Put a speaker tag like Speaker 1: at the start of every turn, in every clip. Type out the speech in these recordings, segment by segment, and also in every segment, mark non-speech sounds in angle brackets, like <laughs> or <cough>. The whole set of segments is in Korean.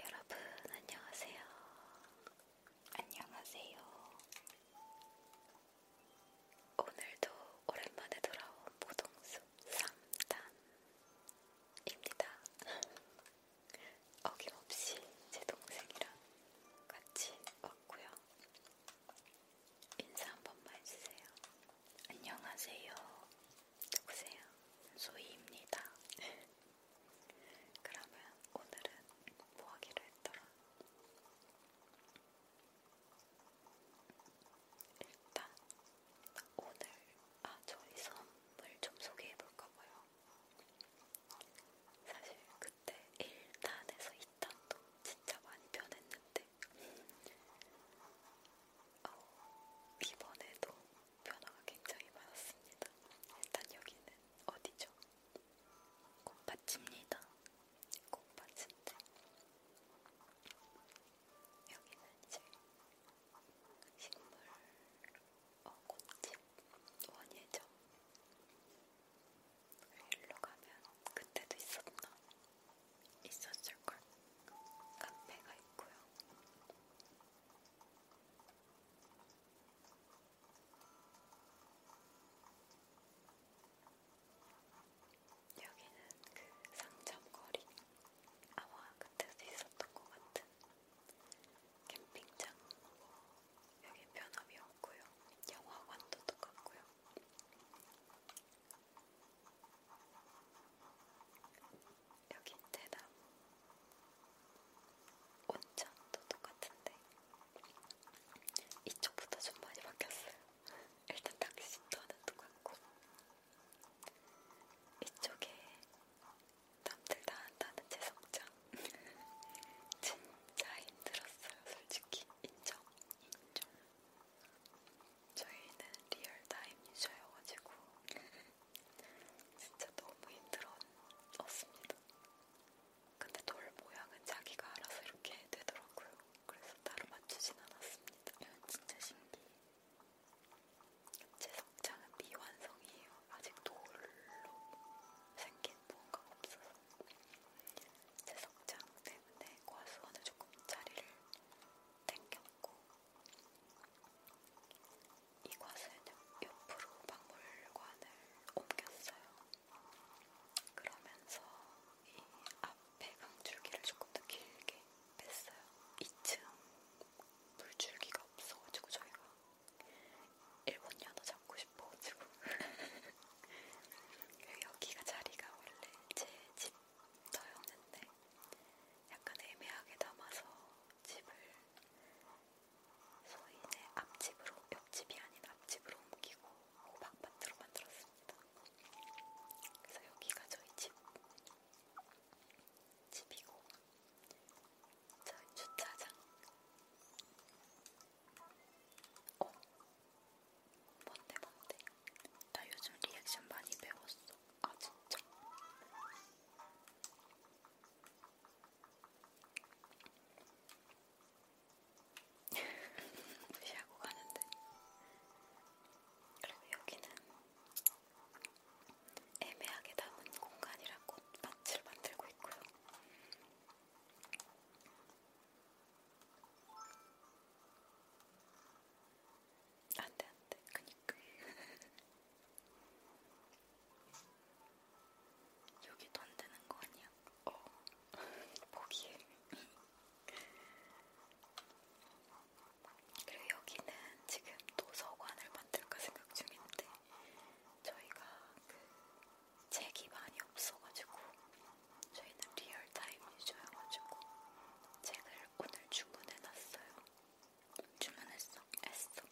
Speaker 1: 여러분, 안녕하세요. 안녕하세요. 오늘도 오랜만에 돌아온 보동숲 3단입니다. <laughs> 어김없이 제 동생이랑 같이 왔고요. 인사 한 번만 해주세요. 안녕하세요. 누구세요? 소희입니다. 그러면 오늘은 뭐 하기로 했더라? 일단 오늘 아 저희 선물 좀 소개해볼까봐요. 사실 그때 1단에서 2단도 진짜 많이 변했는데 어, 이번에도 변화가 굉장히 많았습니다. 일단 여기는 어디죠? 꽃밭입니다. 꽃밭인데 여기는 이제 식물 어, 꽃집 원예죠. 일로 가면 그때도 있었나? 있었을걸? 카페가 있고요. 여기는 그 상점거리 아마 그때도 있었던 것 같은 캠핑장 여기 변함이 없고요 영화관도 똑같고요 여기 대나무 온천도 똑같은데 이쪽부터 좀 많이 바뀌었어요. 일단 낚시터는 똑같고 이쪽에 남들 다 한다는 재성장 <laughs> 진짜 힘들었어요. 솔직히 인정. 인정. 저희는 리얼 타임 유저여가지고 진짜 너무 힘들었습니다. 근데 돌 모양은 자기가 알아서 이렇게 되더라고요. 그래서 따로 맞추진 않았습니다. 이건 진짜 신기해. 제 성장은 미완성이에요. 아직 돌로 생긴 무언가가 없어서. 제 성장 때문에 과수원에 조금 자리를 땡겼고 이 밭은 옆으로 박물관을 옮겼어요. 그러면서 이 앞에 강줄기를 조금 더 길게 뺐어요. 2층 물줄기가 없어가지고 저희가 일본 연어 잡고 싶어가지고 <laughs> 여기가 자리가 원래 제 집터였는데 약간 애매하게 담아서 집을 소인의 앞집으로 옆집이 아닌 앞집으로 옮기고 호박밭으로 만들었습니다. 그래서 여기가 저희 집 집이고 저희 주차장. 어 뭔데 뭔데? 나 요즘 리액션 많이 배웠어. 아 진짜. <laughs> 무시하고 가는데. 그리고 여기는 애매하게 담은 공간이라 꽃밭을 만들고 있고요. 안돼 안돼 그니까 <laughs> 여기 돈 드는 거 아니야? 어. 보기에. 그리고 여기는 지금 도서관을 만들까 생각 중인데 저희가 그 책이 많이 없어가지고 저희는 리얼타임 유저여가지고 책을 오늘 주문해놨어요. 주문했어. 했어.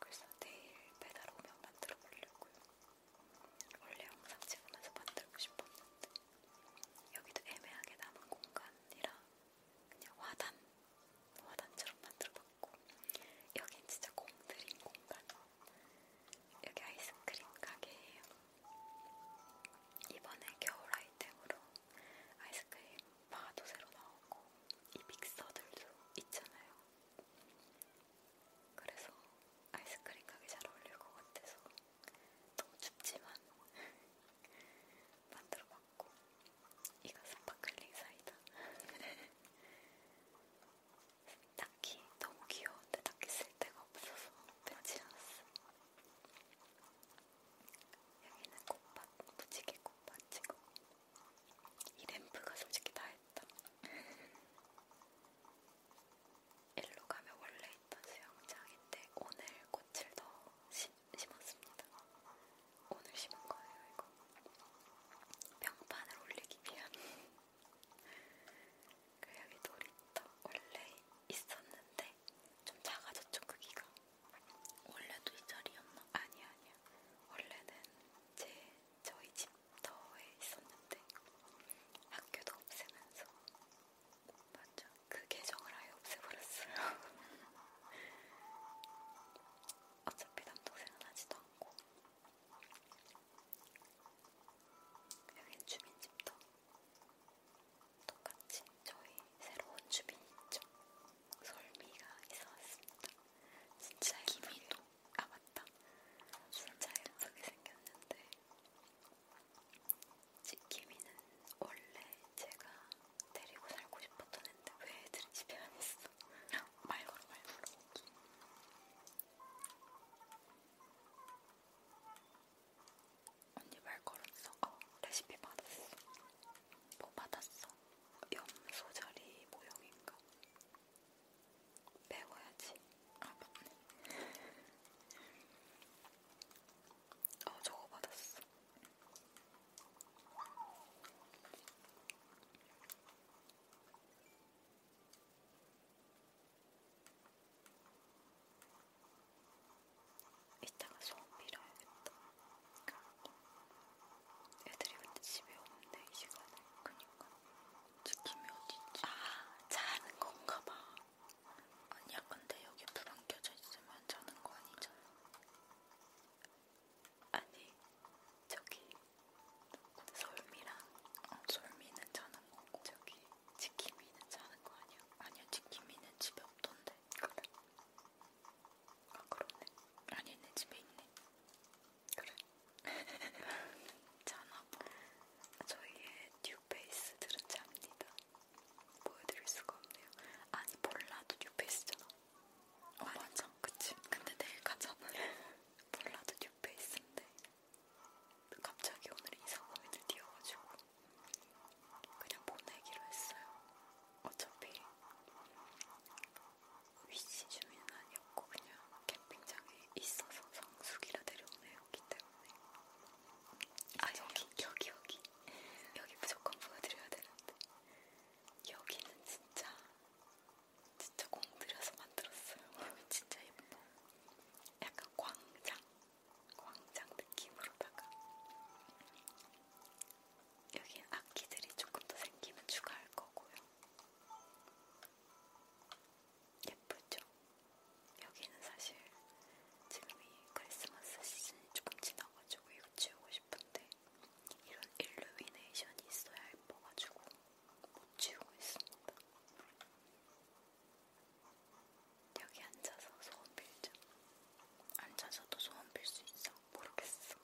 Speaker 1: 그래서 내일 배달 오면 만들어 보려고요. 원래 영상 찍으면서 만들고 싶었는데 여기도 애매하게 남은 공간이라 그냥 화단, 화단처럼 만들어봤고 여긴 진짜 공들인 공간. 여기 아이스크림 가게예요. 이번에 겨울 아이템으로 아이스크림 마도 새로 나오고 이 믹서들도 있잖아요. 그래서 아이스크림 가게 잘 어울릴 것 같아서 너무 춥지만 <laughs> 만들어봤고 이거 스파클링 사이다. <laughs> 딱히 너무 귀여운데 딱히 쓸 데가 없어서 빼지 않았어. 여기는 꽃밭, 무지개 꽃밭이고 이 램프가 솔직히 다 했다. 일로 <laughs> 가면 원래 있던 수영장인데 오늘 꽃을 더 심, 심었습니다. 오늘 심은 거예요, 이거. 평판을 올리기 위한. <laughs> 그 여기 놀이터 원래 있었는데 좀 작아졌죠, 크기가. 원래도 이 자리였나? 아니야, 아니야. 원래는 제 저희 집터에 있었는데 학교도 없애면서 맞죠? 그 계정을 아예 없애버렸어요. <laughs> 어차피 남동생은 하지도 않고 여긴 주민집터 똑같이 저희 새로운 주민이 있죠. 솔미가 있어왔습니다. 진짜 기미도 아 맞다. 진짜 예쁘게 생겼는데 지키미는 원래 제가 데리고 살고 싶었던 애인데 왜 애들이 집에 안 있어? <laughs> 말 걸어 말 걸어. 언니 말 걸었어? 어, 레시피 받았어. 뭐 받았어? 염소 자리 모형인가? 배워야지. 아 맞네. 어 저거 받았어. 이따가 소원 빌어야겠다. 애들이 근데 집에 없네 이 시간에. 그니까. 치킨이 어딨지? 아 자는 건가 봐. 아니야 근데 여기 불 안 켜져 있으면 자는 거 아니잖아. 아니 저기 솔미랑 어, 솔미는 자는 거고 저기 치킨이는 자는 거 아니야? 아니야 치킨이는 집에 없던데. 그래. 아 그렇네. 아니 내 집에 있네. 그래. 자나봐. <laughs> 뭐. 저희의 뉴페이스 들은 잡니다. 보여드릴 수가 없네요. 아니 볼라도 뉴페이스잖아. 어 아니, 맞아. 그치. 근데 내일 가잖아. <laughs> 볼라도 뉴페이스인데 갑자기 오늘 이사범이들 뛰어가지고 그냥 보내기로 했어요. 어차피 위치 주민은 아니었고 그냥 캠핑장에 있어서 성수기라 데려오네 여기 때문에 아 여기 여기 여기 여기 무조건 보여드려야 되는데 여기는 진짜 진짜 공들여서 만들었어요 여기 <laughs> 진짜 예뻐 약간 광장 광장 느낌으로다가 여기 악기들이 조금 더 생기면 추가할 거고요. 예쁘죠? 여기는 사실 지금 이 크리스마스 시즌이 조금 지나가지고 이거 지우고 싶은데 이런 일루미네이션이 있어야 예뻐가지고 못 지우고 있습니다. 여기 앉아서 소원 빌죠. 앉아서도 소원 빌 수 있어. 모르겠어.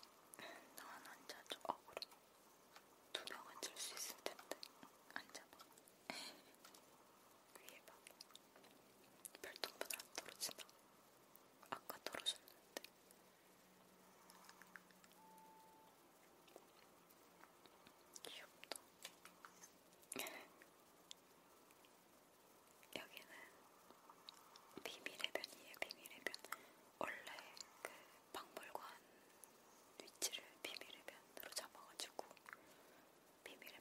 Speaker 1: 난 앉아줘. 어, 그래. 두명 앉을 수 있을 텐데. 앉아봐. <laughs> 위에 봐. 별똥분 안 떨어지나? 아까 떨어졌는데. 귀엽다. <laughs> 여기는 비밀의 변이에요, 비밀의 변. 원래 그 박물관 위치를 비밀의 변으로 잡아가지고 비밀의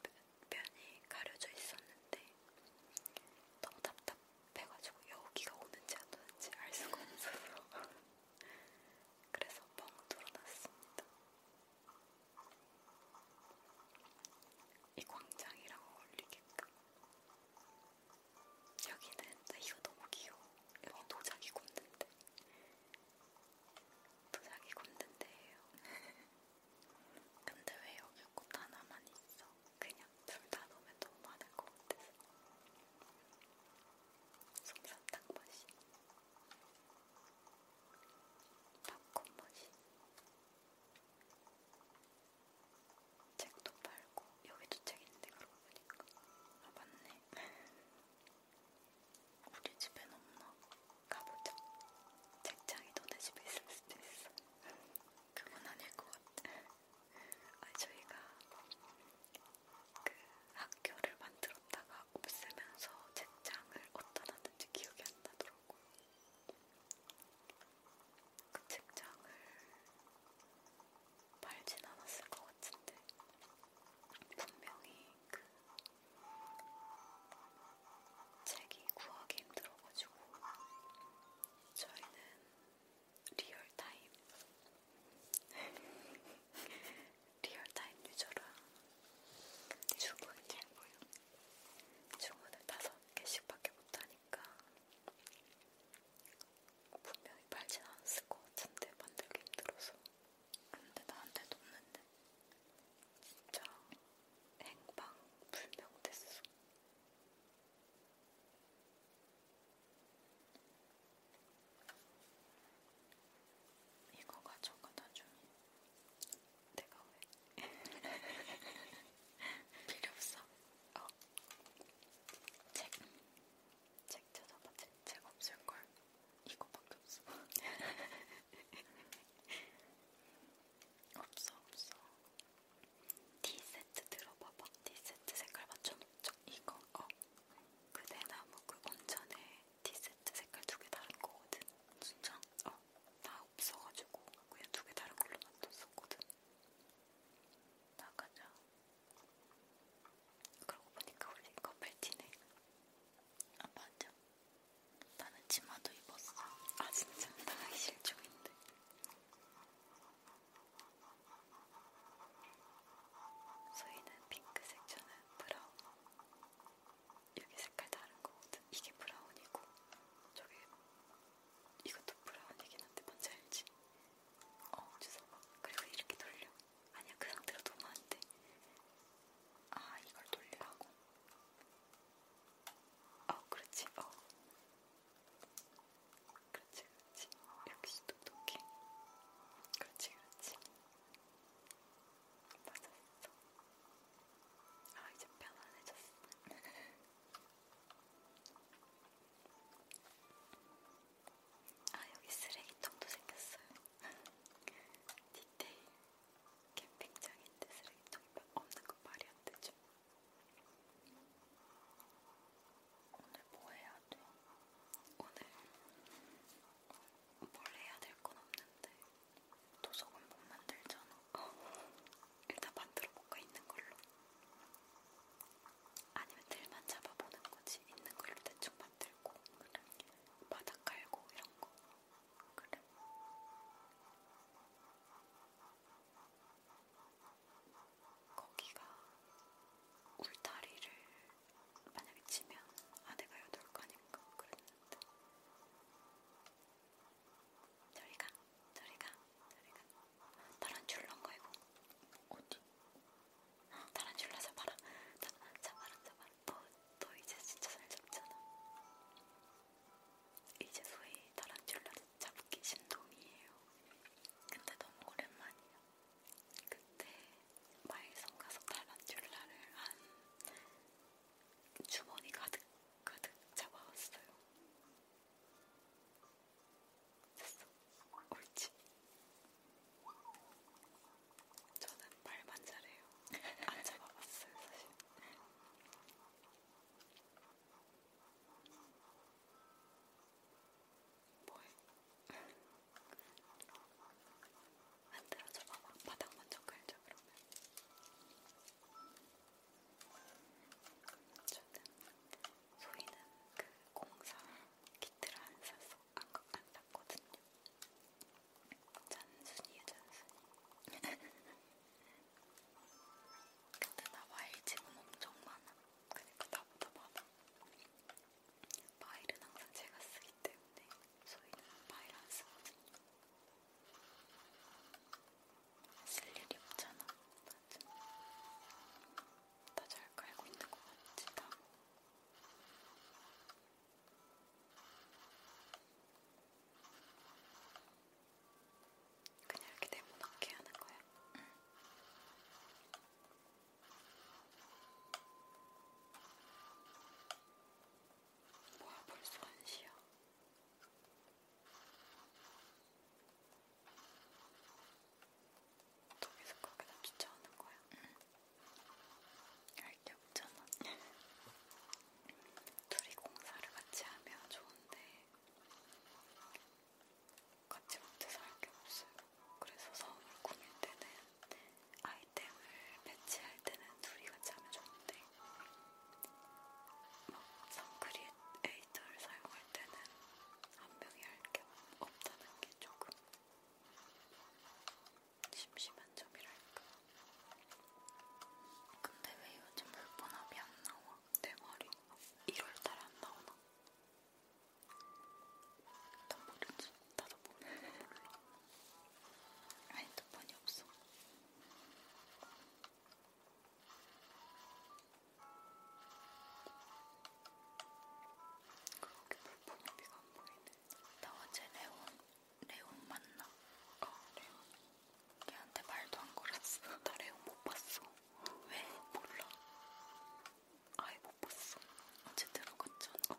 Speaker 1: 변이 가려져 있었는데 너무 답답해가지고 여기가 오는지 안 오는지 알 수가 없어서 <laughs> 그래서 뻥 뚫어놨습니다. 이 광장이랑 어울리게끔 여기는 나 이거 너무 귀여워. 여기 도자기 굽는데. 도자기 굽는데예요. <laughs> 근데 왜 여기 꽃 하나만 있어? 그냥 둘다 넣으면 너무 많을 것 같아서. 솜사탕 맛이. 팝콘 맛이. 책도 팔고 여기도 책 있는데 그러고 보니까 아 맞네 <laughs> 우리 집엔 없나? 가보자 책장이 너네 집에 있을 수도 있어 <laughs> 그건 아닐 것 같아 <laughs> 아 저희가 그 학교를 만들었다가 없애면서 책장을 어디다 놨는지 기억이 안 나더라고요 그 책장을 팔진 않았을 것 같은데 분명히 그 책이 구하기 힘들어가지고 저희는 리얼타임 <laughs> 리얼타임 유저랑 주문 주문을 다섯 개씩밖에 못하니까 분명히 팔진 않았을 것 같은데 만들기 힘들어서 근데 나한테 없는데 진짜 행방불명됐어 이거 가져가 나중에 내가 왜 <laughs> 필요 없어? 어 책, 책 찾아봐. 책, 책 없을걸. 이거밖에 없어. <laughs> 없어, 없어. 티 세트 들어봐봐. 티 세트 색깔 맞춰놓죠. 이거, 어. 그 대나무 그 온천에 티 세트 색깔 두 개 다른 거거든. 진짜? 어. 나 없어가지고 그냥 두 개 다른 걸로 만들었었거든. 나가자. 그러고 보니까 우리 커플티네. 아 맞아. 나는 치마도 입었어. 아 진짜 나가기 실종인데. 소희는 핑크색, 저는 브라운. 여기 색깔 다른 거거든. 이게 브라운이고 저게 이것도 브라운이긴 한데 뭔지 알지? 어 주워봐 그리고 이렇게 돌려 아니야 그 상태로 놓으면 안돼 아 이걸 돌리라고 어 그렇지 어 그렇지 그렇지 역시 똑똑해 그렇지 그렇지 맞았어 아 이제 편안해졌어 <laughs> 아, 여기 쓰레기통도 생겼어요. <laughs> 디테일. 캠핑장인데 쓰레기통이 없는 건 말이 안 되죠. 오늘 뭐 해야 돼? 오늘 뭘 해야 될 건 없는데 도서관 못 만들잖아. <laughs> 일단 만들어 볼까 있는 걸로. 아니면 들만 잡아보는 거지 있는 걸로 대충 만들고 그래. 바닥 깔고 이런 거. 그래. 거기가 울타리를 만약에 치면 아내가 여덟 가니까 그랬는데. 저희가 저리가 저리가 타란출라인가 이거 어디? 타란출라 어, 잡아라 자, 잡아라 잡아라 너, 너 이제 진짜 잘 잡잖아 이제 소위 타란출라 잡기 신동이에요 근데 너무 오랜만이에요 그때 마일성 가서 타란출라를 한 주머니 가득 가득 잡아왔어요 됐어. 옳지. 저는 발만 잘해요. 안 잡아봤어요, 사실. 뭐해? 만들어줘 봐봐. 바닥 먼저 깔자, 그러면. 저는 저희는 그 공사 키트를 안 샀어, 안, 안 샀거든요. 잔순이에요, 잔순이. <laughs> 근데 나 마일 지금 엄청 많아. 그러니까 나보다 많아. 마일은 항상 제가 쓰기 때문에 저희는 마일 안 쓰거든요. 쓸 일이 없잖아. 다 잘 깔고 있는 것 같지, 다. 그냥 이렇게 네모나게 하는 거야. 응. 뭐야 벌써 한시야? 독일서 거기다 쫓아오는 거야? 응. 알게 없잖아. <laughs> 둘이 공사를 같이 하면 좋은데 같이 못해서 할 게 없어요. 그래서 성을 꾸밀 때는 아이템을 배치할 때는 둘이 같이 하면 좋은데 막 선크리에 데이터를 사용할 때는 한명이 할 게 없다는 게 조금 심심한 점이랄까. 근데 왜 요즘 물번합이 안 나와? 내 머리 1월달 안 나오나? 난 모르지. 나도 몰라. 아니, 두 번이 없어. 볼품비가 안 보이네. 나 어제 레온, 레온 만나. 어, 아, 레온. 걔한테 말도 안 걸었어. <laughs> 나 레온 못 봤어. 왜? 몰라. 아예 못 봤어. 어제 들어갔잖아. 어.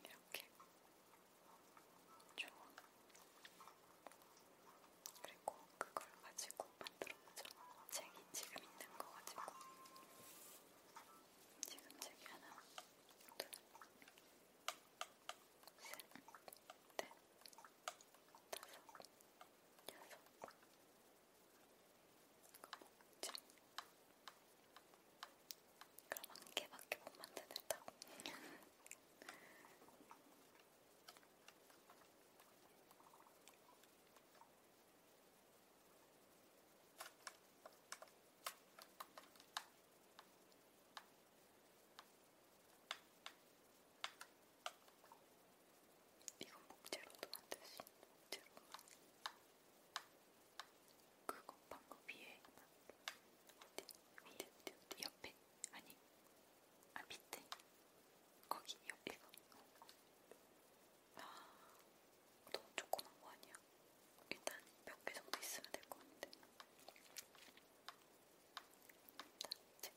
Speaker 1: 이렇게 좋아. 그리고 그걸 가지고 만들어보자. 책이 지금 있는 거 가지고. 지금 책이 하나, 둘, 셋, 넷, 다섯, 여섯, 먹자. 그럼 한 개밖에 못 만들겠다. 음. 이건 목재로도 만들 수 있는 목재로 그거 방금 위에 어디? 어디? 어디? 어디? 옆에? 아니 아 밑에? 거기 옆에 이거 아 너무 조그만 거 아니야? 일단 몇 개 정도 있으면 될것 같은데 책장을 이걸 만들고 어디 갔지?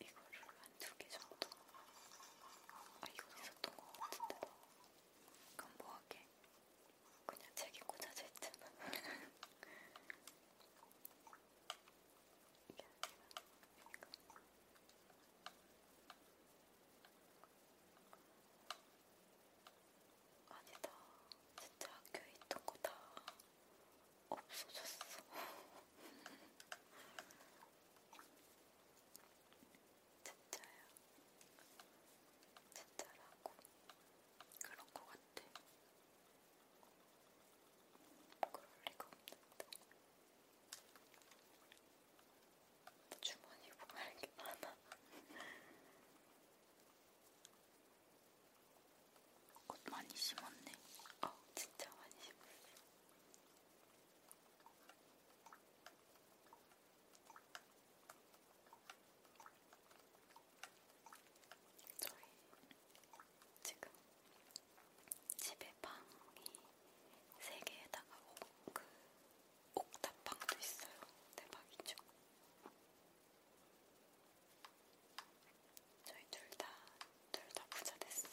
Speaker 1: 이거를 한 두 개 정도 아 이거 있었던 것 뭐 같은데 너 그럼 뭐하게? 그냥 책에 꽂아져 있잖아. 이게 아니라 이거. 아니다. 진짜 학교에 있던 거 다 없어졌어. <laughs> 진짜야. 진짜라고. 그런 것 같아. 그럴 리가 없는데. 주머니 보관할 게 많아. 꽃 <laughs> 많이 심었네. 어, 진짜 많이 심었어. 저희 지금 집에 방이 세 개에다가 옥, 그 옥탑방도 있어요. 대박이죠? 네, 저희 둘 다 둘다 둘 다 부자 됐어요.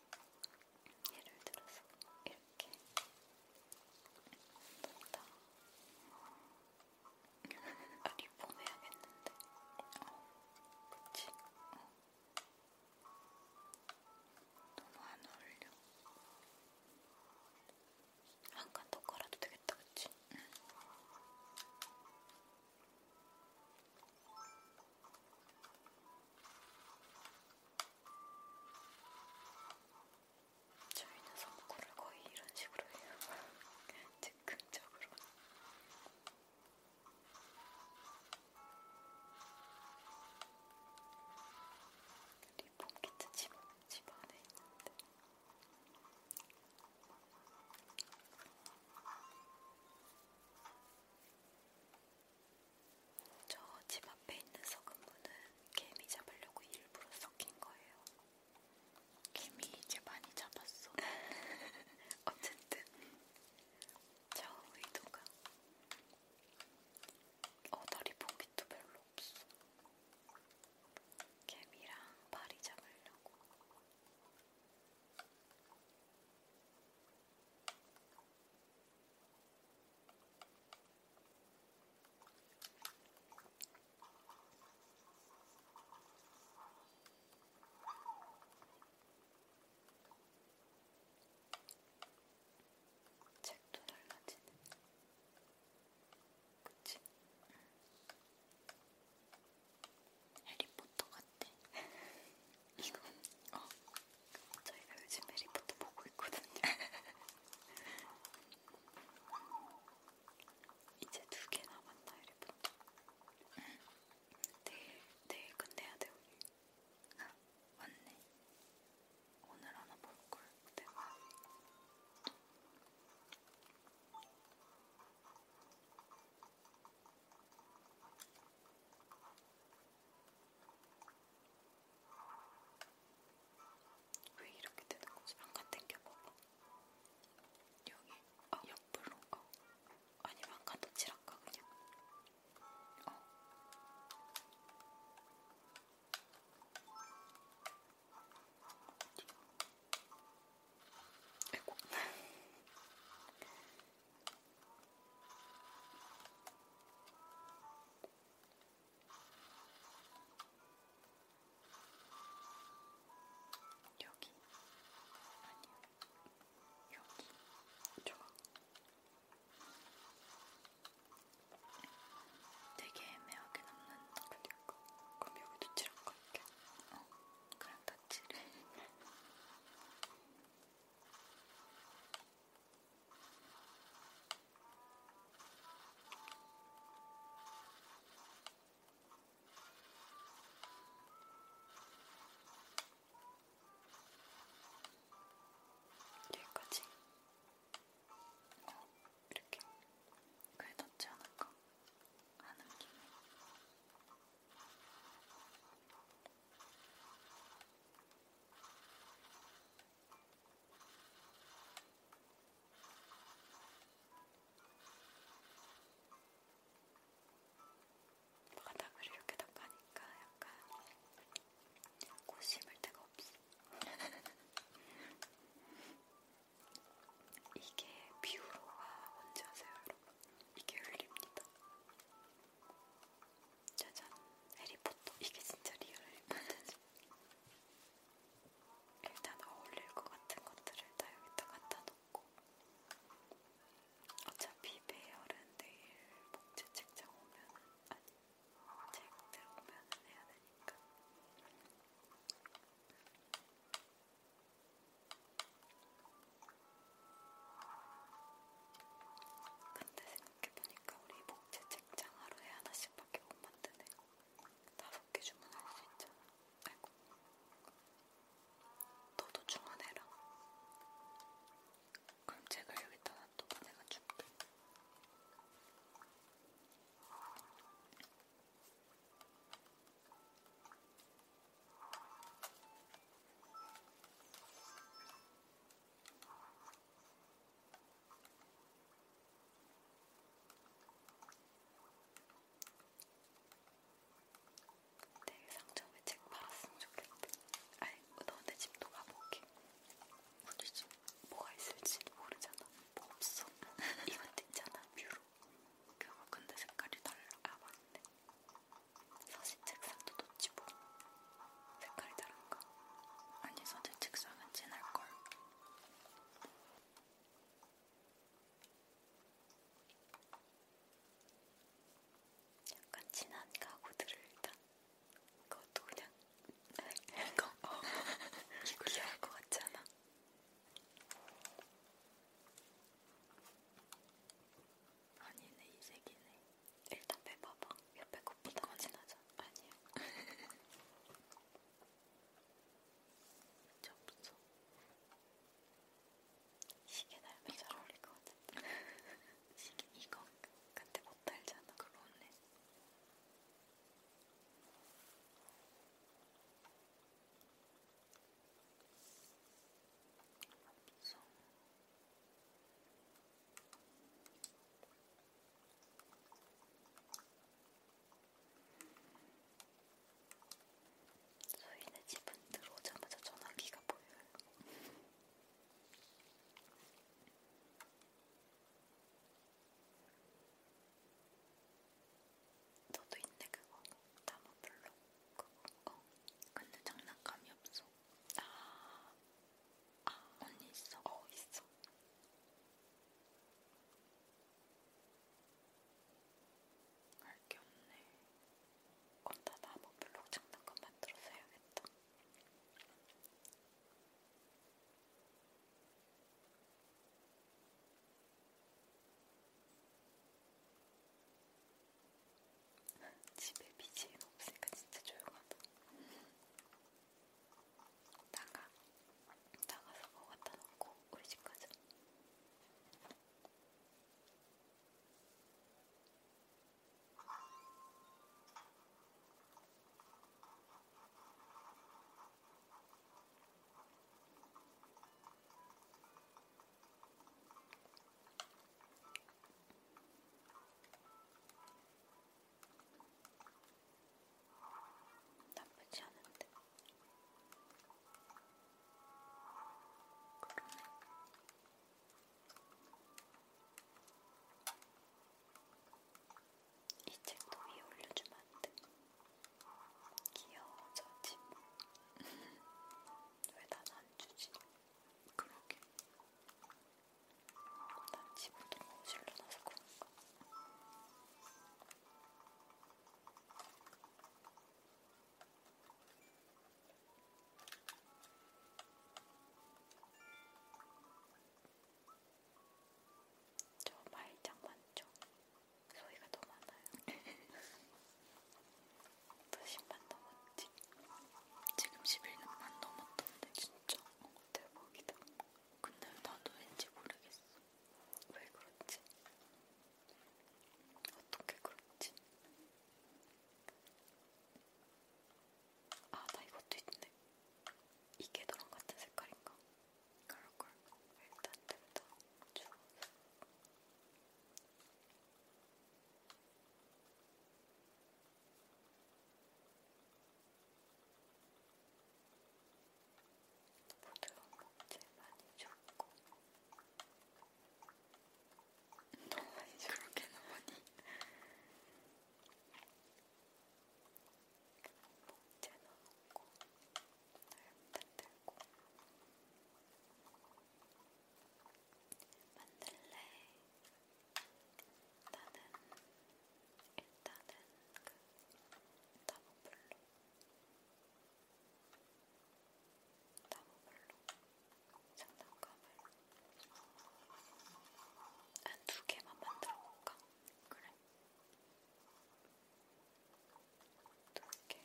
Speaker 1: 예를 들어서 이렇게 뭔가 어, 아, 리폼 해야겠는데 어, 그치? 어. 너무 안 어울려 한 칸더 깔아도 되겠다 그치? 응. 저희는 선구를 거의 이런 식으로 해요. <laughs> 즉흥적으로. 리폼 키트 집, 집 안에 있는데. 저집 앞에 있는 썩은 무는 개미 잡으려고 일부러 섞인 거예요. 개미 이제 많이 잡았어. <laughs> 어쨌든 저 의도가 어덜이 보기도 별로 없어. 개미랑 파리 잡으려고. 책도 달라지네. 그치? 해리포터 같아. <laughs> 이건 어 저희가 요즘 해리포터 보고 있거든요. <laughs> 이제 두 개 남았나 해리포터. 내일 내일 끝내야 돼 우리. 아 <laughs> 맞네. 오늘 하나 볼 걸. 내가. 왜 이렇게 되는 거지? 한칸 당겨봐봐. 여기, 어, 옆으로, 어. 아니면 한칸 더 칠할까, 그냥? 어. 아이고. 여기 아니요 여기 좋아 되게 애매하게 남는 그니까 그럼 여기도 칠한 거게 어 그냥 다 칠해 여기까지 어, 이렇게 글 넣지 않을까 하는 김에 바닥을 이렇게 닦아니까 약간 꽃 심을 데가 없어. <laughs> 이게 비우로가 뭔지 아세요, 여러분? 이게 흘립니다. 짜잔 해리포터 이게 진짜 리얼 해리포터지 일단 어울릴 것 같은 것들을 다 여기다 갖다 놓고 어차피 배열은 내일 목재 책장 오면은 아니 책들 오면은 해야 되니까 근데 이렇게 보니까 우리 목재 책장 하루에 하나씩밖에 못 만드네. 다섯 개 주문할 수 있잖아. 아이고. 너도 주문해라. 그럼 책을 여기다 놔두고 내가 줄게. 내일 상점에 책 팔았으면 좋겠다. 아니, 너네 집도 가보게. 우리 집 뭐가 있을지도 모르잖아. 뭐 없어. <laughs> 이것도 있잖아, 뷰로. 그거 근데 색깔이 달라. 아, 맞네. 사실 책상도 놓지 뭐. 색깔이 다른가? 아니 서재 책상은 진할걸. 약간 진한 가구들을 일단 그것도 그냥 <laughs> 이거 어. 귀여울 것 같지 않아? 아니네 이 색이네 일단 빼봐봐. 옆에 것보다 진하죠? 아니요. 진짜 없어. 시계 달면 잘 어울릴 것 같은데. <laughs> 시계 이거 근데 못 달잖아. 그러네. 없어. 소희네 집은 들어오자마자 전화기가 보여요. 너도 있네 그거 나무블록 그거 어 근데 장난감이 없어 아, 아 언니 있어? 어 있어. 알게 없네. 그럼 다 나무 블록 장난감 만들어서 해야겠다. 집에 BGM 없으니까 진짜 조용하다. 나가. 나가서 뭐 갖다 놓고 우리 집 가자. 나쁘지 않은데. 그러네. 이 책도 위에 올려주면 안 돼. 귀여워져지 뭐. <laughs> 왜난 안 주지? 그러게. 난 집부터 거실로 나서 그런가. 저 말장 많죠? 소리가 더 많아요. 수십만 <laughs> 넘었네. 지금 11년만 넘었던데 진짜 어, 대박이다. 근데 나도 왠지 모르겠어. 왜 그렇지? 어떻게 그렇지? 아, 나 이것도 있네. 이게 너랑 같은 색깔인가? 그럴걸. 일단 됐다. 쭉. 부드러운 목재 많이 줬고 너무 많이 그렇게 넣으니 목재 넣고 만들고 만들래 나는 일단은 그 다보블로 다보블로 장난감을 한두 아, 개만 만들어 볼까? 그래. 두개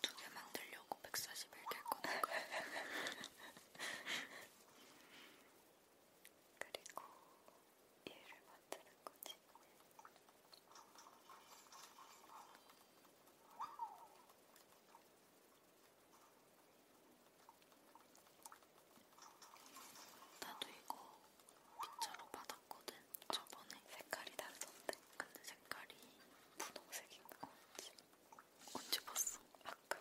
Speaker 1: 두 개 만들려고 141개 꺼낸 거야. <laughs> 그리고 일을 만드는 거지. 나도 이거 빗자루 받았거든. 저번에 색깔이 다르던데. 근데 색깔이 분홍색인 거 같지. 언제 봤어? 아까.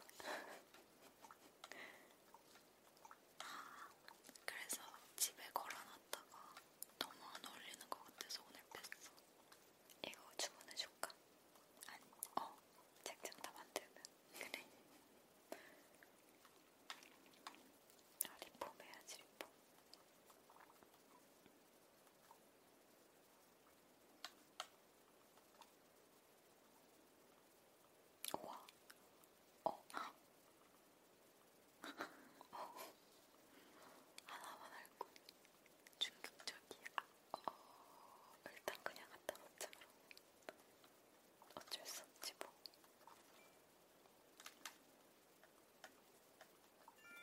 Speaker 1: 아, 그래서 집에 걸어놨다가 너무 안 어울리는 것 같아서 오늘 뺐어. 이거 주문해줄까? 아니, 어, 책장 다 만들면. 그래. 아, 리폼 해야지, 리폼. 우와. 어. 어. 하나만 할거 충격적이야. 어. 일단 그냥 갖다 놓자 그럼. 어쩔 수 없지 뭐.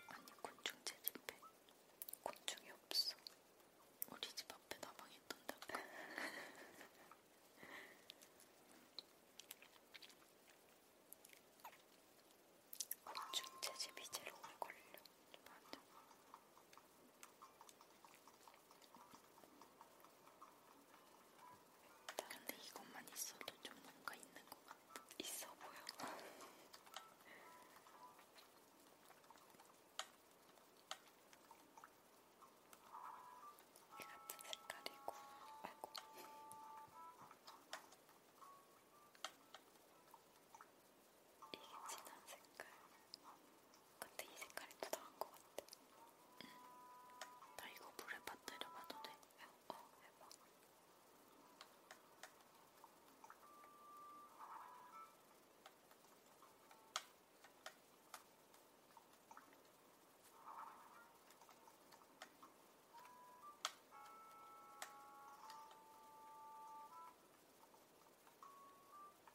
Speaker 1: 아니 곤충 채집해. 곤충이 없어. 우리 집 앞에 나방 있던 닭. <laughs> 중체집이 제일 오래 걸려. 맞아. 근데 이것만 있어도 좀 뭔가 있는 것 같아. 있어 보여. <laughs> 이 같은 색깔이고, 아이고. 이게 진한 색깔. 근데 이 색깔이 더 나은 것 같아. 응. 나 이거 물에 빠뜨려 봐도 돼? 어, 해봐.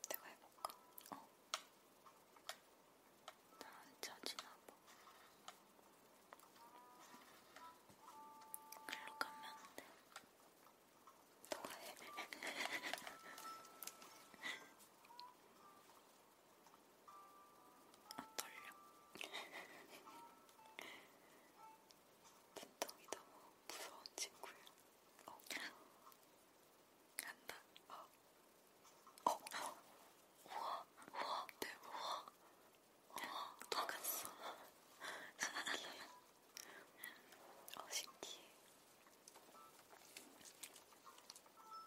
Speaker 1: 내가 해볼까? 어. 나안 찾지나 봐. 일로 가면 안 돼. 동화해. 아, 떨려. 진동이 너무 무서운 친구야. 어. 간다. 어. 어. 어. 우와. 우와. 대박. 우와. 우와. 또 갔어. 진짜. 어 신기해.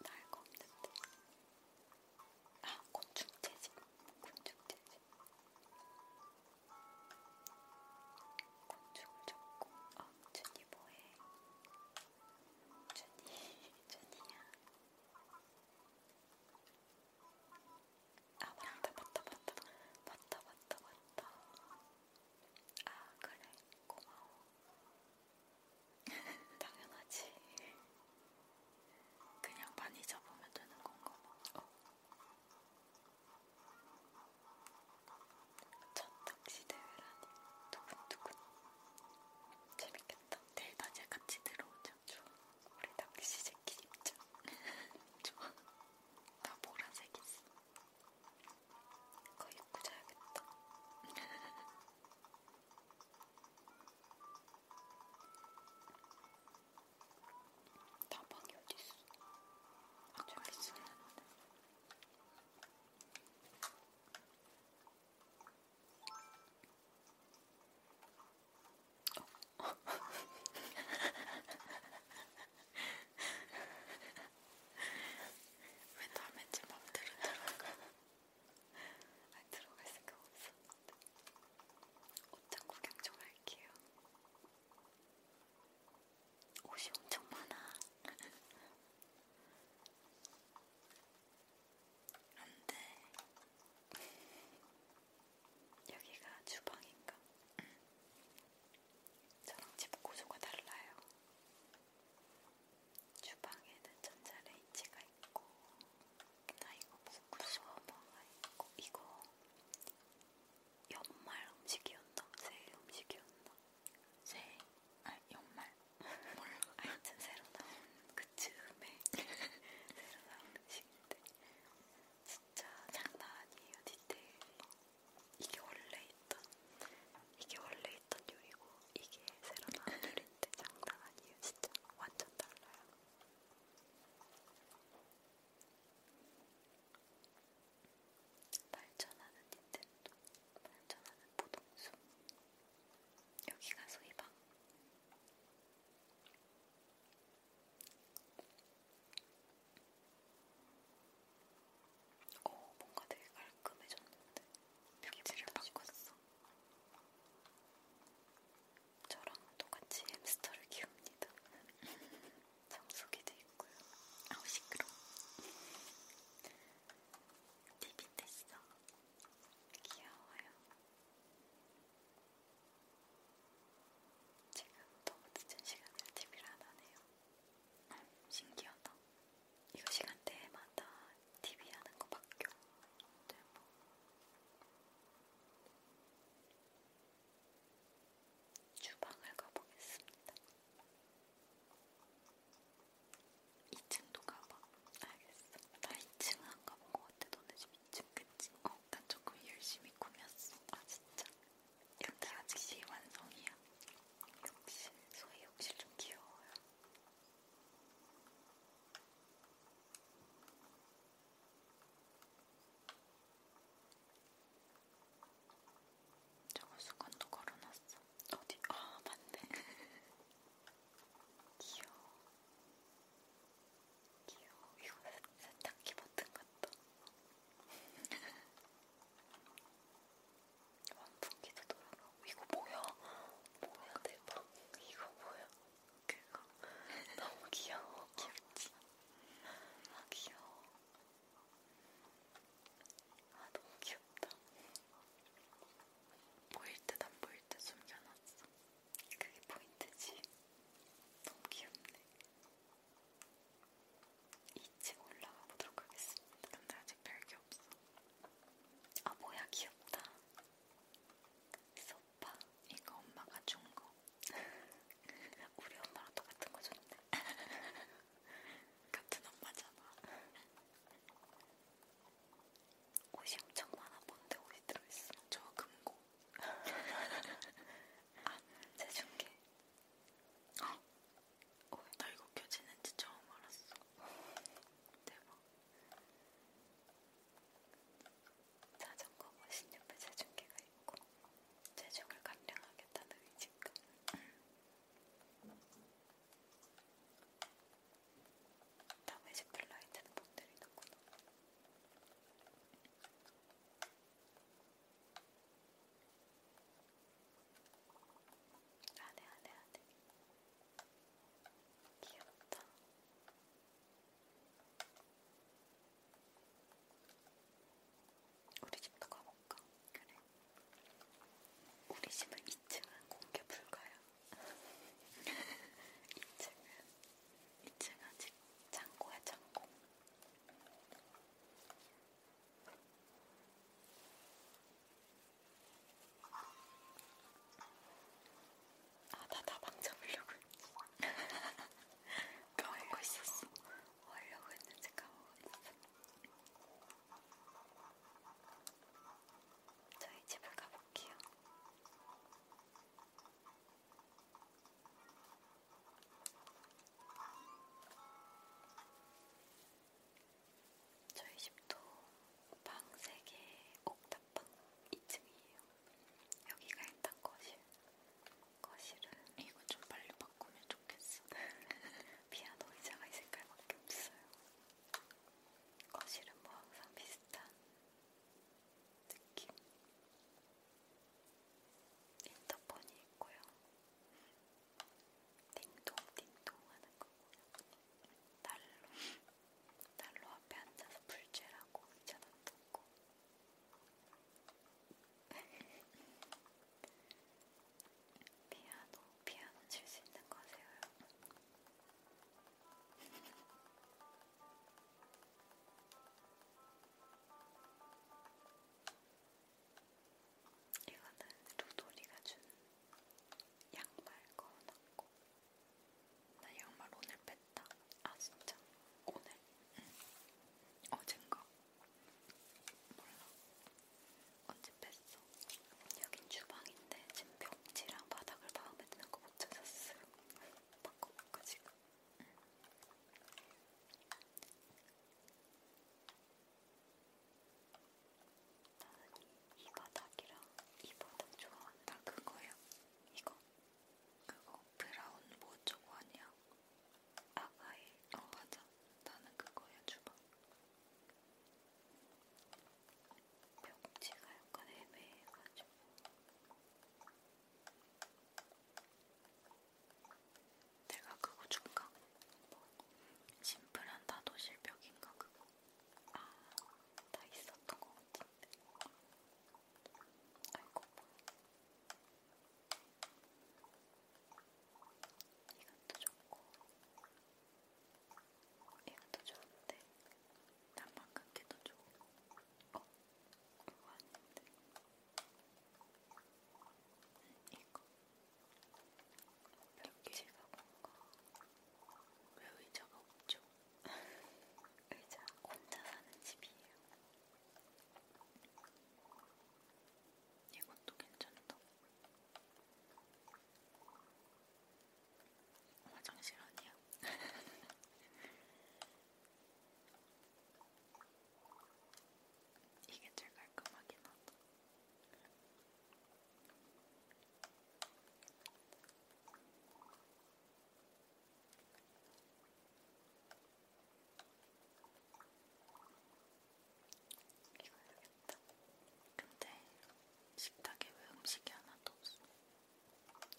Speaker 1: 나알거 없는데. 아 곤충 채집. 곤충 채집. 곤충을 잡고. 어 준이 뭐해? 준이 <laughs> 준이야. 아 맞다 맞다 맞다 맞다 맞다 맞다 아 그래 고마워 <laughs> 당연하지 그냥 많이 잡으면 되는 건가 봐 어. 첫 낚시 대회라니 두근두근 재밌겠다 내일 낮에 같이 들어오자 좋아 우리 낚시 재킷 입자 좋아 나 보라색 있어 그거 입고 자야겠다. <laughs> 다방이 어딨어? 아, 저기 있어. 어. <laughs> 왜 남의 집 맘대로 들어가? 아니 들어갈 생각 없었는데 옷장 구경 좀 할게요 옷이 엄청 많아 안돼 여기가 주방인가? 응. 저랑 집 구조가 달라요. 주방에는 전자레인지가 있고, 나 이거 먹고 싶어 뭐가 있고, 이거 연말 음식이었나? 새해 음식이었나? 새해? 아 연말? 몰라. <laughs> 하여튼 새로 나온 그 즈음에 새로 나온 음식인데 진짜 장난 아니에요 디테일이. 이게 원래 있던 이게 원래 있던 요리고 이게 새로 나온 요리인데 장난 아니에요 진짜 완전 달라요. 발전하는 닌텐도, 발전하는 보동수 여기가 소희방 어, 뭔가 되게 깔끔해졌는데. 벽지를 바꿨어. 저랑 똑같이 햄스터를 키웁니다. 청소기도 <laughs> 있고요. 아우 시끄러. TV 네 됐어. 귀여워요. 지금 너무 늦은 시간에 TV를 안 하네요. 신기하다. 이거 시간대마다 TV 하는 거 바뀌어. 대박. 주방을 가보겠습니다. 2층도 가봐. 알겠어. 나 2층 안 가본 것 같아. 너네 집 2층 그치? 어, 난 조금 열심히 꾸몄어. 아, 진짜. 근데 아직 시완성이야. 역시 소희 역시 좀 귀여워요. 저거 수건도 걸어놨어. 어디? 아 맞네. <laughs> 귀여워. 귀여워. 이거 세탁기 버튼 같다. <laughs> 완풍기도 돌아가고 이거 뭐야? 뭐야 대박 이거 뭐야? 그거 <laughs> 너무 귀여워 귀엽지? 아 귀여워 아 너무 귀엽다 보일 듯 안 보일 듯 숨겨놨어 그게 포인트지 너무 귀엽네 2층 올라가 보도록 하겠습니다. 근데 아직 별게 없어. 아 뭐야 귀엽다. 소파 이거 엄마가 준 거. <laughs> 우리 엄마랑 똑같은 거 줬는데. <laughs> 같은 엄마잖아. 옷이 엄청 많아. 뭔데 옷이 들어있어? 저 금고. <laughs> 아, 제준게 나 이거 켜지는지 처음 알았어. 대박. 자전거 머신 옆에 체중계가 있고 체중을 감량하겠다는 의지감. 다음에 지플라이트는 못 때리는구나. 안해 안해 안해 귀엽다 우리 집도 가볼까? 그래 우리 집은 2층은 공개 불가야 2층은 <laughs> 2층 아직 창고야 창고 아, 나다 방잡으려고 했지. <laughs> 까먹고 있었어. 뭐 하려고 했는지 까먹었어. 저희 집을 가볼게요. 저희 집도 방 3개 옥탑방 2층이에요. 여기가 일단 거실. 거실은 이거 좀 빨리 바꾸면 좋겠어. <laughs> 피아노 의자가 이 색깔밖에 없어요. 거실은 뭐 항상 비슷한 느낌. 인터폰이 있고요. 띵동띵동 하는 거고 난로 난로 앞에 앉아서 불쬐라고 의자도 놓고 <laughs> 피아노 피아노 칠 수 있는 거세요 여러분 <laughs> 이거는 로돌이가 준 양말 걸어놨고 나 양말 오늘 뺐다 아 진짜? 오늘? 응 어젠가? 몰라 언제 뺐어? 여긴 주방인데 지금 벽지랑 바닥을 마음에 드는 거 못 찾았어요 <laughs> 바꿔볼까 지금? 응. 나는 이 바닥이랑 이 바닥 좋아하는 나 아, 그거야 이거 그거 브라운 뭐 저거 아니야 아가의 어, 어 맞아 나는 그거야 주방 벽지가 약간 애매해가지고 내가 그거 준가? 뭐 심플한 다도 실벽인가 그거? 아다 있었던 것 같은데. 아이고 이것도 좋고 이것도 좋은데 난 방금 게더 좋고 어? 이거 아닌데 응, 이거 별개가 뭔가 왜 의자가 없죠? <laughs> 의자 혼자 사는 집이에요. 이것도 괜찮다. 화장실 아니야? <laughs> 이게 제일 깔끔하긴 하다. 이거야겠다. 근데 식탁에 왜 음식이 하나도 없어?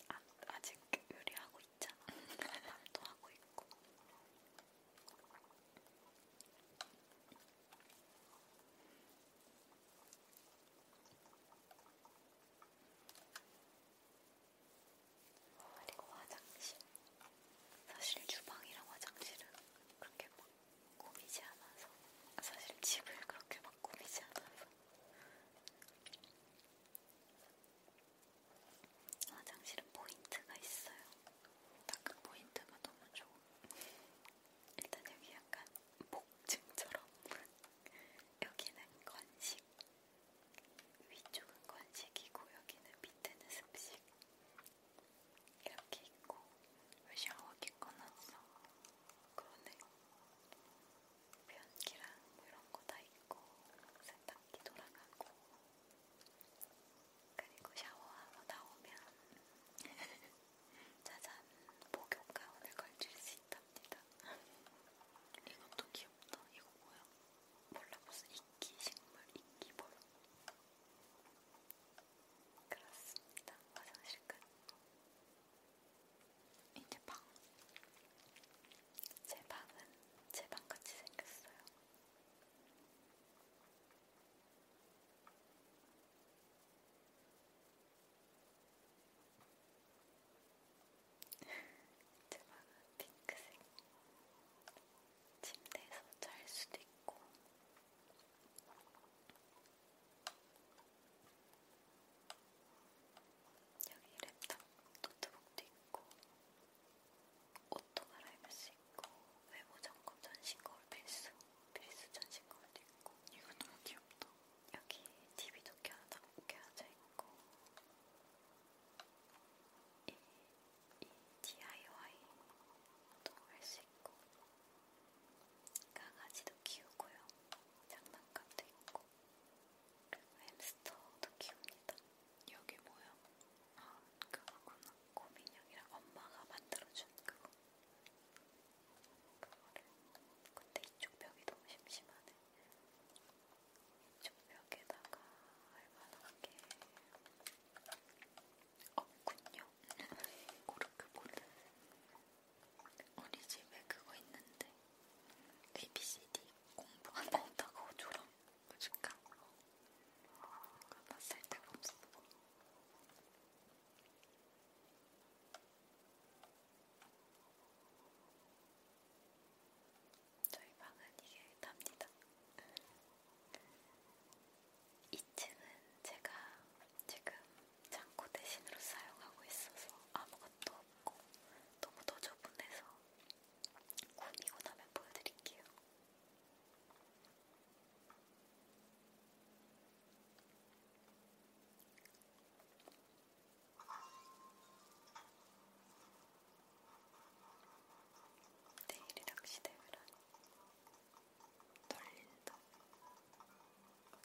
Speaker 1: 아, 아직 요리하고 있잖아. <laughs> 밥도 하고 있고. 그리고 화장실. 사실 주방이랑 화장실은 그렇게 막 꾸미지 않아서, 사실 집을 그렇게 막 꾸미지 않아서. 화장실은 포인트가 있어요. 딱 포인트가 너무 좋아. 일단 여기 약간 복층처럼 <laughs> 여기는 건식, 위쪽은 건식이고 여기는 밑에는 습식 이렇게 있고 왜 샤워기 꺼놨어? 그러네. 변기랑 뭐 이런 거 다 있고 세탁기 돌아가고 그리고 샤워하고 나오면 <laughs> 짜잔 목욕 가운을 걸칠 수 있답니다. <laughs> 이것도 귀엽다. 이거 뭐야? 몰라 무슨 이끼 식물 이끼 뭐야? 그렇습니다. 화장실 끝. 이제 방. 제 방은 제 방같이 생겼어요. 제방은 핑크색 침대에서 잘 수도 있고 여기 랩탑 노트북도 있고 옷도 갈아입을 수 있고 외모 점검 전신 거울 필수, 필수 전신 거울도 있고 이거 너무 귀엽다. 여기 TV도 껴져, 껴져 있고 이, 이 DIY도 할 수 있고 강아지도 키우고요. 장난감도 있고 햄스터도 키웁니다. 여기 뭐야? 아, 그거구나. 곰인형이랑 엄마가 만들어준 그거. 그거를. 근데 이쪽 벽이 너무 심심하네. 이쪽 벽에다가 할만한 게 없군요. 고르크 <laughs> 보는 우리 집에 그거 있는데. ABCD 공부 안 한다고 졸업 보여줄까? 이거 봤을 때가 없어. 저희 방은 이게 답니다. 2층은 제가 지금 창고 대신으로 사용하고 있어서 아무것도 없고 너무 더 좁은 데서 꾸미고 나면 보여드릴게요. 내일이 낚시대회라니 떨린다.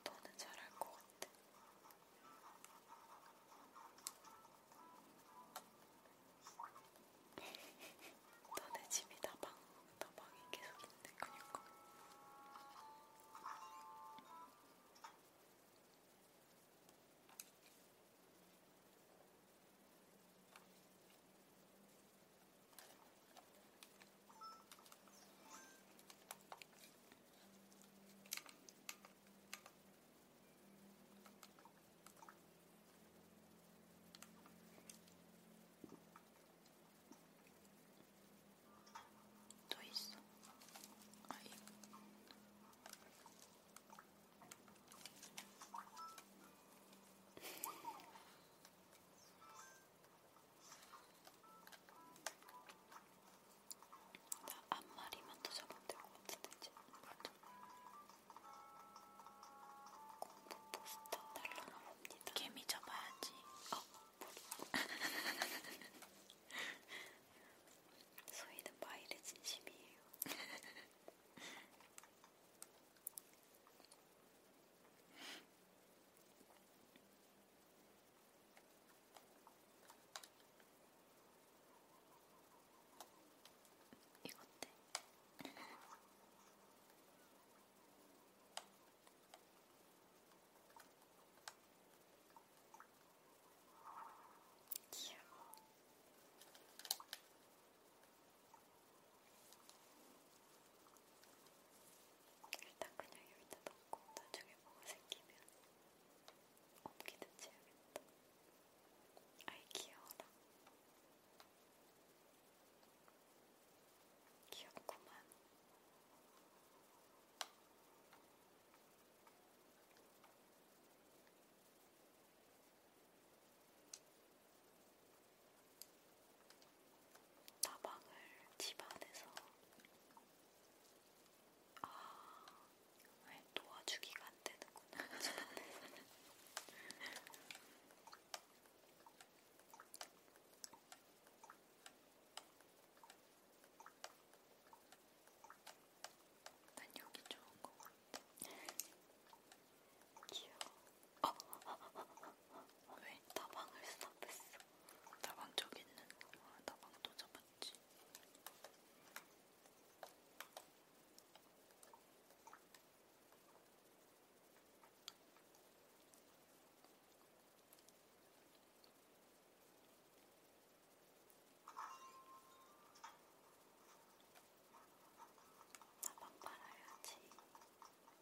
Speaker 1: 너는 잘할 것 같아. 너네 집이 다방, 다방이 계속 있네, 그니까. といそうはいあんまりまたしゃべってこうつってちゃう 공포 포스터 달러나 봅니다. 개미 접어야지. 어. <laughs> 소희는 마일의 진심이에요. <laughs> 이것대 귀여워. 일단 그냥 여기다 넣고 나중에 뭐가 생기면 옮기든지 해야겠다. 아이 귀여워라. 귀엽구만. 다방을 집 안에서 아 도와주기가 안 되는구나. <laughs> 난 여기 좋은 것 같아. 귀여워. 어, 어, 어, 어, 어. 왜? 다방을 스탑했어. 다방 저기 있는. 아, 다방 또 잡았지. 나만 팔아야지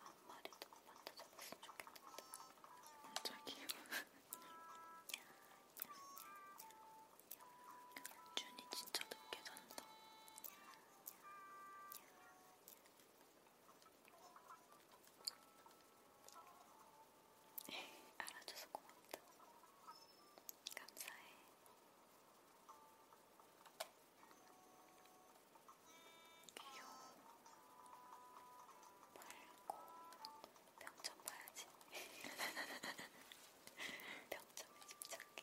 Speaker 1: 앞머리도 만져 잡았으면 좋겠는데 갑자기요? 준이 진짜 늦게 잔다 네, 알아줘서 고맙다. 감사해. 귀여워. 말고 병점 봐야지. <laughs> 병점에 집착해.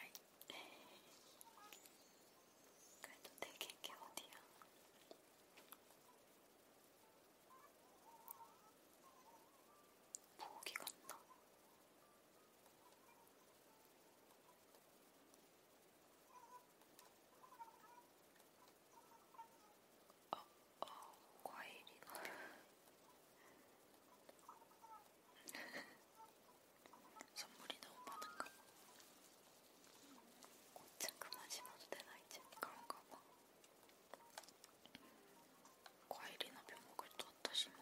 Speaker 1: 아이, 그래도 되게 게 어디야? 보기 같나? 어, 어, 과일이다. 선물이 너무 많은 거. 꽃은 그만 심어도 되나 이제 그런가 봐. 과일이나 벼목을 또 어떠 심어?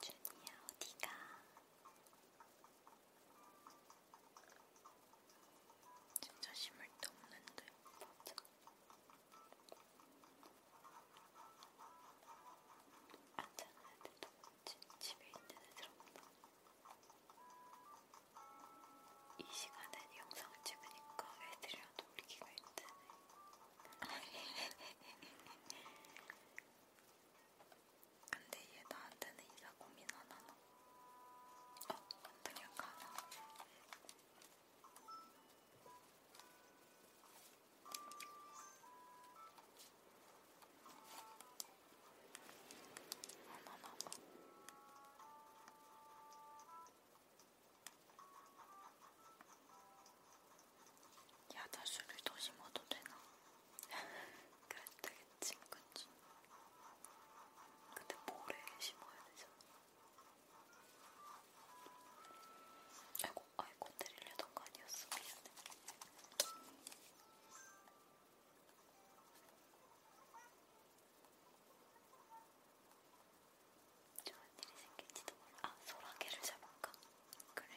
Speaker 1: 준이야 어디가? 진짜 심을 데 없는데. 맞아. 안 자는 애들도 지, 집에 있는 애들 없나? 이 시간에 영상을 찍으니까 애들이랑 놀기가 힘드네. <laughs> 근데 얘 나한테는 이사 고민 안 하나? 어? 원동력 하나? 안 하나 봐. 야자수를 더 심어도 되나? 그랬더니 친구지. 근데 모래 심어야 되잖아. 아이고, 아이고, 때리려던 거 아니었어. 미안해. 좋은 일이 생길지도 몰라. 아, 소라게를 잡을까? 그래.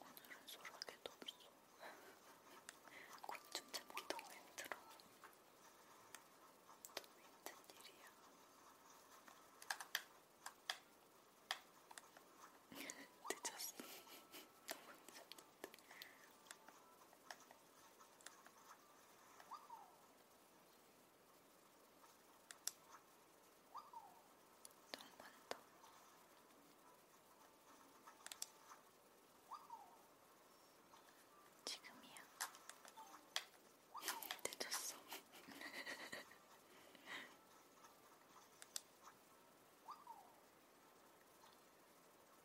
Speaker 1: 오늘은 소라게도 없어. 곤충 잡기 너무 힘들어. 너무 힘든 일이야. <laughs> 늦었어. <laughs> 너무 늦었는데. 동반도 지금이야. <laughs> 늦었어.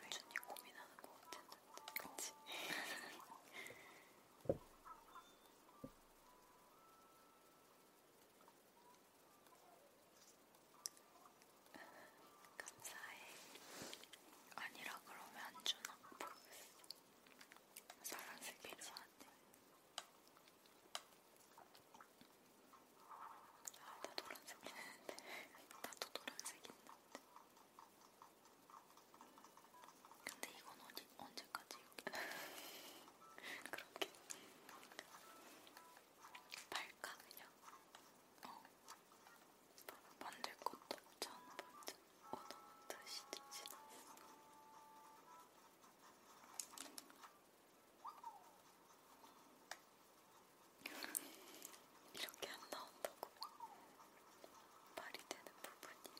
Speaker 1: 금준이 고민하는 거 같았는데 그치? 감사해. 아니라 그러면 안 주나? 사랑스럽게 저한테. 아, 나 노란색 있는데. <laughs> 나도 노란색 있는데. 근데 이건 어디, 언제까지 이렇게. <laughs> 그렇게. 팔까 그냥? 어. 만들 것도 없잖아. 오늘 드시 지났어. 이렇게 안 나온다고 말이 되는 부분이.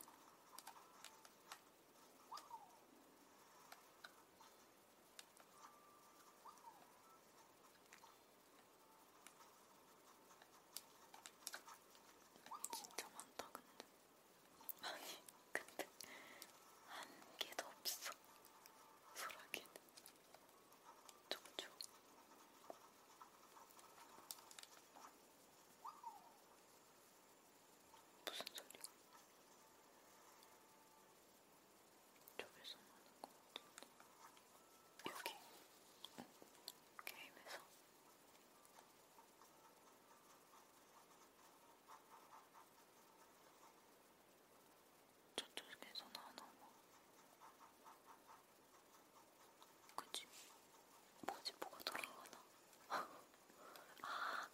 Speaker 1: 진짜 많다 근데 아니 근데 한 개도 없어 소라기는 쪽쪽 무슨 소리야? 쪽에서 나는 것 같은데 여기 응. 게임에서 저쪽에서 나나 봐 그치? 뭐지? 뭐가 돌아가나? <laughs> 아,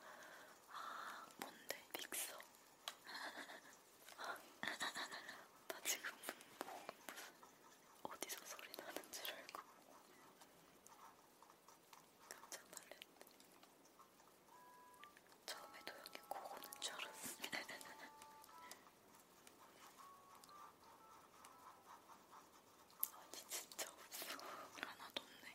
Speaker 1: 아, 뭔데? 믹서 <laughs> 나 지금 뭐 어디서 소리 나는 줄 알고 깜짝 놀랐네. 처음에 도영이 고고는 줄 알았어. <laughs> 아니 진짜 없어. 하나도 없네.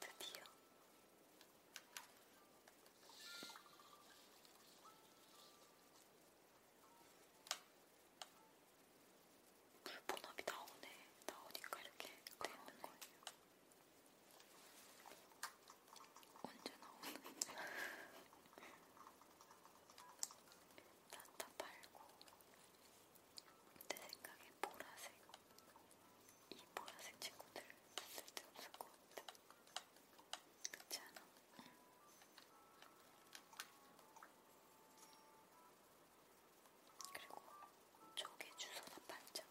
Speaker 1: 드디어 물본업이 나오네. 나오니까 이렇게 되는 거예요. 언제 나오는지 나타 말고 내 생각에 보라색 이 보라색 친구들 쓸데없을 것 같아 그렇지 않아? 응. 그리고 저게 주소나 반짝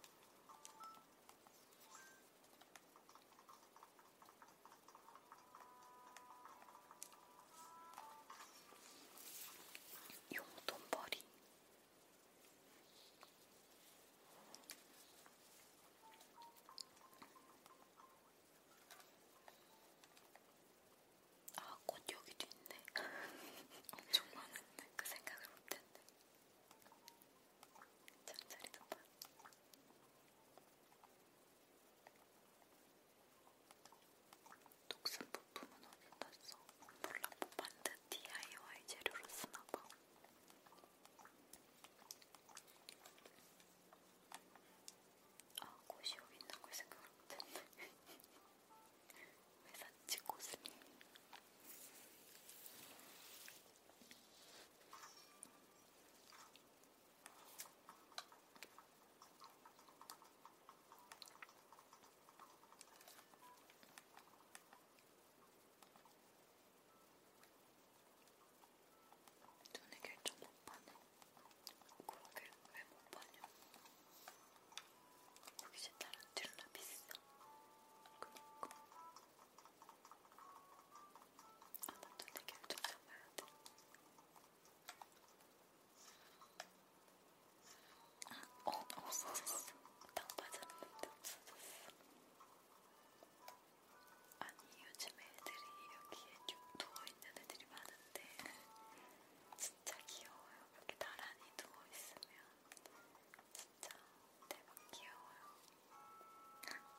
Speaker 1: 용돈벌이 아, 꽃 여기도 있네. <laughs> 엄청 많은데. 그 생각을 못했네. 잠자리 좀 봐. 녹슨 부품은 어디 났어? 몰라, 뭐 만든 DIY 재료로 쓰나봐. 아, 꽃이 여기 있는 걸 생각을 못했네. <laughs> 왜 샀지, 꽃을? 눈에 결정 못 파네. 그러게 왜못 파냐? 역시 다른 딜라 비싸. 그니까. 어떤 얘기를 좀 잡아야 돼. 아, 어, 없어졌어. 딱 맞았는데 없어졌어. 아니, 요즘 애들이 여기에 누워있는 애들이 많은데 진짜 귀여워요. 이렇게 나란히 누워있으면 진짜 대박 네, 귀여워요.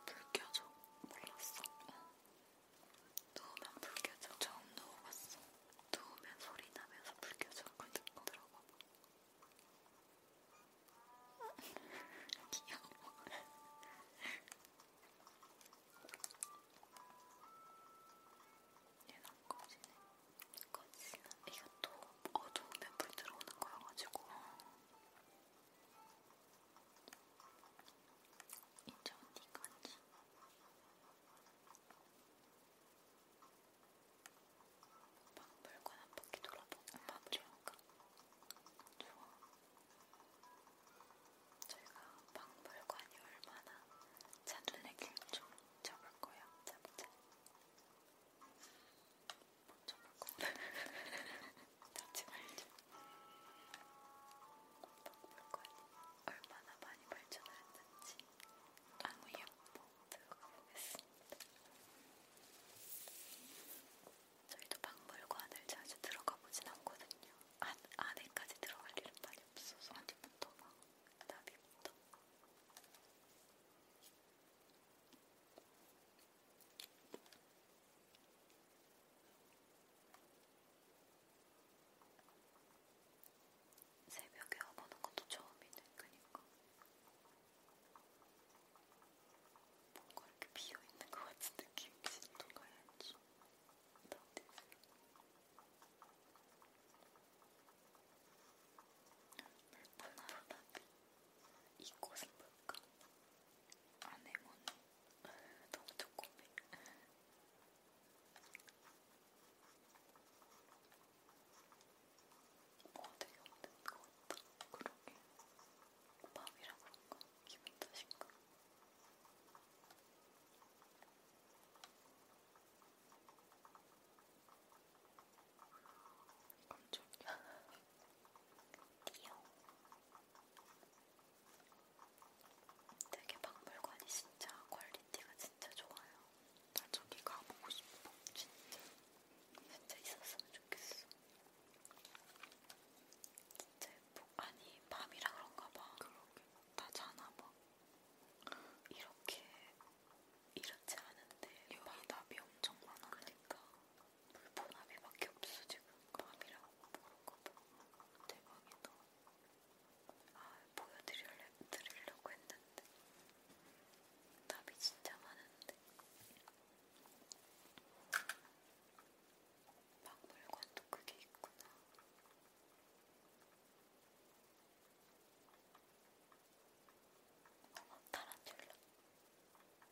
Speaker 1: 불 켜줘. 몰랐어. 어. 누우면 불 켜줘. 처음 누워봤어. 누우면 소리 나면서 불 켜줘. 그걸 듣고 들어봐봐. 귀여워. <laughs> 얘는 안 꺼지네. 꺼지나? 이것도 어두우면 불 들어오는 거여가지고. 어. 이제 어디까지? 오빠 물건 한 바퀴 돌아보고 엄마 부려볼까? 좋아. 저희가 박물관이 얼마나 자눈에 길좀 잡을 거야. 잡자. 먼저 먹어. 닿지 말자. 박물관이 얼마나 많이 발전하였는지 아무 예보 들어가 보겠습니다. 저희도 박물관을 자주 들어가 보진 않거든요. 안, 안에까지 들어갈 일은 많이 없어서 아직부터 막 나비부터. 새벽에 와보는 것도 처음이네, 그니까. 뭔가 이렇게 비어있는 것 같은 느낌이 진짜 가야지. 나한테. 물뿐 아로나비. 이곳은 뭘까? 아네몬 너무 조그매 뭐가 되게 없는 것 같다 그러게 밤이라 그런가? 기분 탓인가? 이건 좀 귀여워. 되게 박물관이 진짜 퀄리티가 진짜 좋아요. 나 저기 가보고 싶어. 진짜. 진짜 있었으면 좋겠어. 진짜 예뻐. 아니, 밤이라 그런가 봐. 그러게. 다 자나 봐. 이렇게 이렇지 않은데 여기 밤. 답이 엄청 많아. 그러니까 불보나비밖에 없어 지금 밤이랑 모르거든 대박이다 아 보여드리려고 했는데 답이 진짜 많은데 박물관도 그게 있구나 어머 타란툴라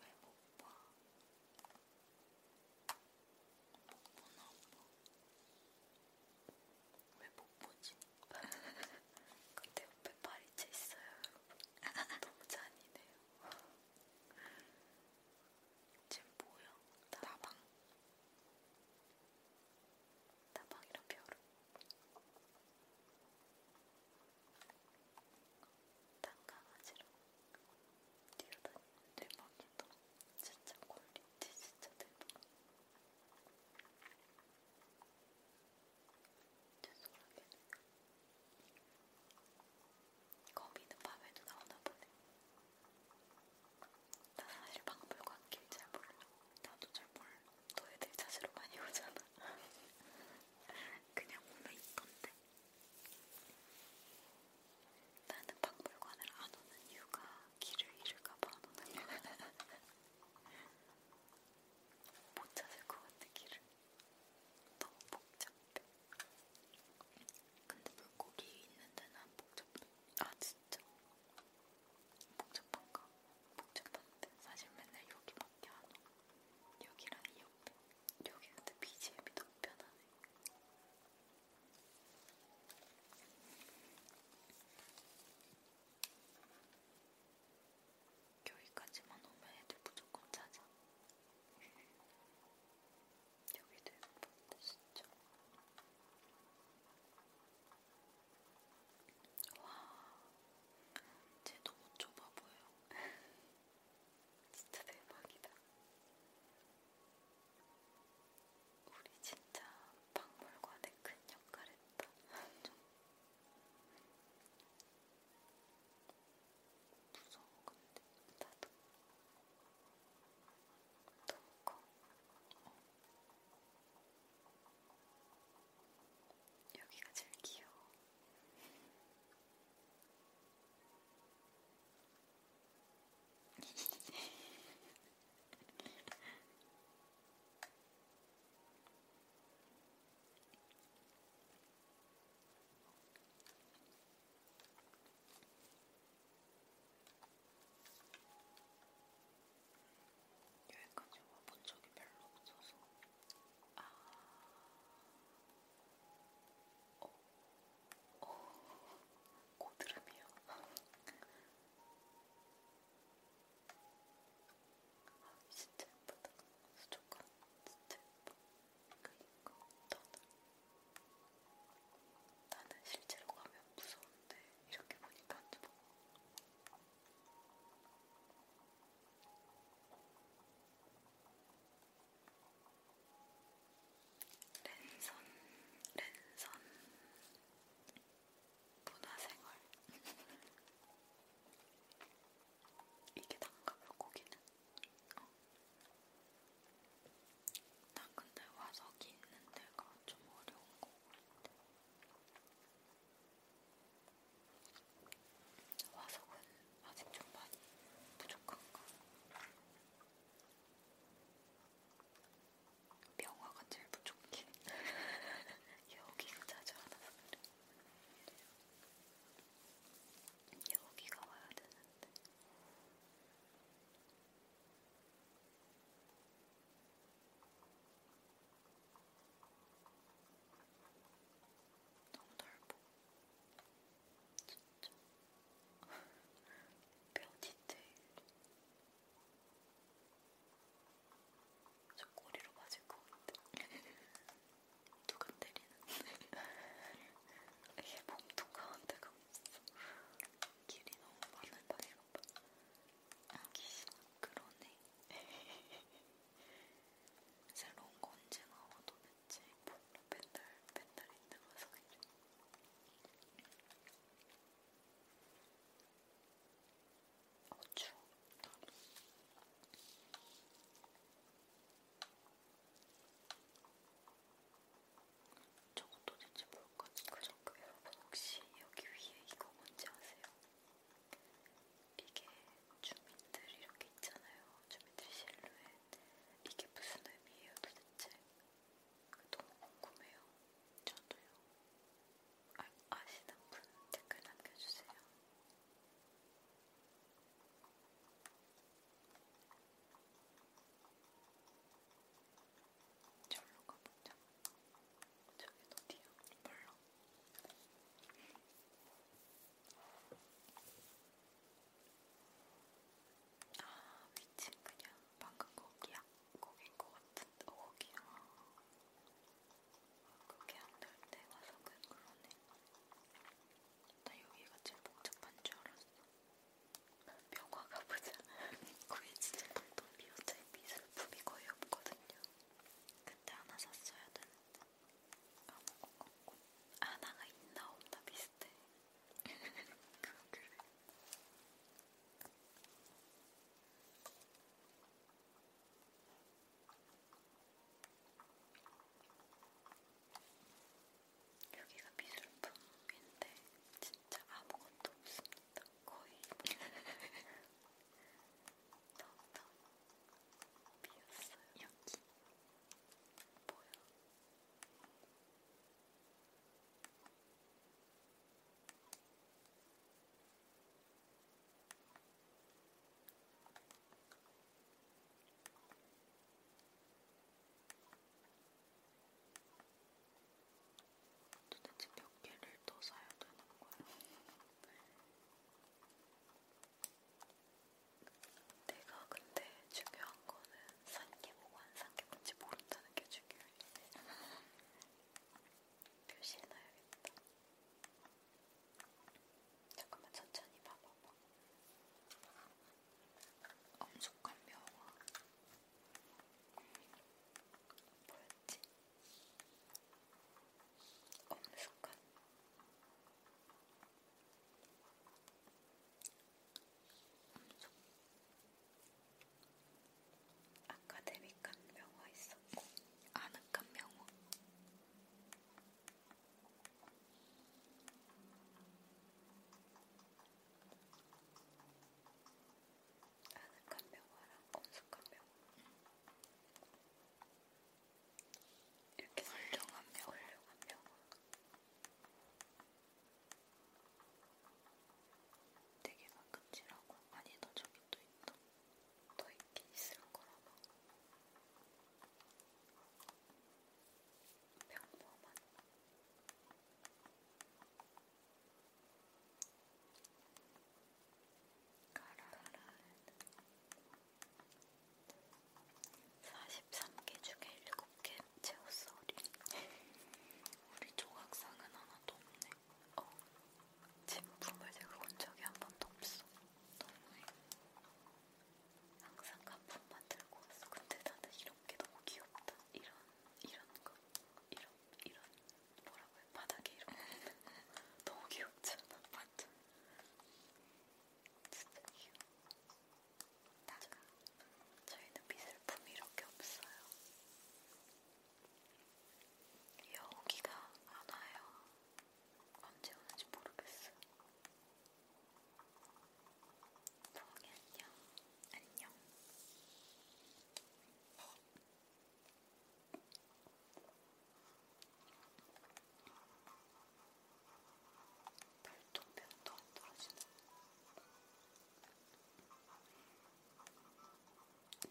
Speaker 1: 왜못 봐? 못 보나 봐. 왜못 보지? <laughs> 근데 옆에 파리채 있어요, 여러분. 너무 잔인해요. 지금 뭐야? 다방. 다방이랑 벼룩. 땅강아지로 뛰어다니는 대박이다. 진짜 퀄리티 진짜 대박. 죄송하게. 거미는 밤에도 나오나 보네. 나 사실 박물관 길잘 몰라. 나도 잘 몰라. 너희들 찾으러 많이 오잖아. 그냥 오면 있던데. 나는 박물관을 안 오는 이유가 길을 잃을까봐 안 오는 거야. <laughs> 못 찾을 것 같아, 길을. 너무 복잡해. 근데 물고기 있는 데는 안 복잡해. 아, 진짜? 복잡한가? 복잡한데. 사실 맨날 여기 연어 음, 여기랑 이 옆에 여기 근데 BGM이 너무 편하네 여기까지만 오면 애들 무조건 찾아 여기도 예쁜데 진짜 와, 쟤 너무 좁아 보여. 진짜 대박이다. 우리 진짜 박물관에 큰 역할을 했다. 무서워 근데 나도 너무 커. 어. 여기가 제일 귀여워. 여행까지 와본 적이 별로 없어서 아... 어... 어... 고드름이요. 아, 진짜 예쁘다. 수족관 진짜 예뻐. 그니까 나는 나는 실제로 가면 무서운데 이렇게 보니까 안 무서워. 랜선, 랜선 문화생활 이게 단가 물고기는? 어. 나 근데 와석이 있는 데가 좀 어려운 거 같아. 화석은 아직 좀 많이 부족한가? 명화가 제일 부족해. <laughs> 여기가 자주 안 와서 그래. 여기가 와야 되는데. 너무 넓어. 진짜 뼈 디테일 저 꼬리로 맞을 것 같아 누가 때리는데 이게 몸통 가운데가 없어 길이 너무 많은 바이로봐 아기시나 그러네 새로운 거 언제 나와 도대체 몰라 맨날 맨날 힘들어서 그냥 어 추워 나도 저거 도대체 뭘까? 그저께 여러분 혹시 여기 위에 이거 뭔지 아세요? 이게 주민들 이렇게 있잖아요. 주민들 실루엣. 이게 무슨 의미예요 도대체? 너무 궁금해요. 저도요. 아, 아시는 분 댓글 남겨주세요. 절로 가보자. 저긴 어디요? 몰라. 아, 위치 그냥 방금 거기야? 거긴 것 같은데, 어, 거기야. 그게 안 될때 와서 그 그러네. 나 여기가 제일 복잡한 줄 알았어. 병화 가보자. 거의 진짜 텅텅 비어서 미술품이 거의 없거든요. 그때 하나 샀어야 되는데. 까먹은 것 같고 하나가 있나 없나 비슷해 그래 <laughs> 여기가 미술품인데 진짜 아무것도 없습니다. 거의 더욱더 <laughs> 비었어요. 여기 보여? 도대체 몇 개를 더 사야 되는 거야? 내가 근데 중요한 거는 산 게 뭐고 안 산 게 뭔지 모른다는 게 중요해. 표시해놔야겠다. 잠깐만 천천히 봐봐봐. 엄숙한 명화. 뭐였지? 엄숙한 아카데믹한 명화 있었고 아늑한 명화 아늑한 명화랑 검숙한 명화 이렇게 설정한 명, 설정한 명. 되게 가끔지라고 아니, 나 저기 또 있다. 더 있긴 있을 거라봐. 평범한. 가라는 43개 중에 7개 채웠어 우리 우리 조각상은 하나도 없네 어 진품을 들고 온 적이 한 번도 없어 너무해 항상 가품만 들고 왔어 근데 나는 이렇게 너무 귀엽다 이런 이런 거 이런 이런 뭐라고 해 바닥에 이런 거 <laughs> 너무 귀엽잖아 맞아 다가 저희는 미술품이 이렇게 없어요. 여기가 안 와요. 언제 오는지 모르겠어. 동이 안녕. 안녕. 별똥별도 안 떨어지네.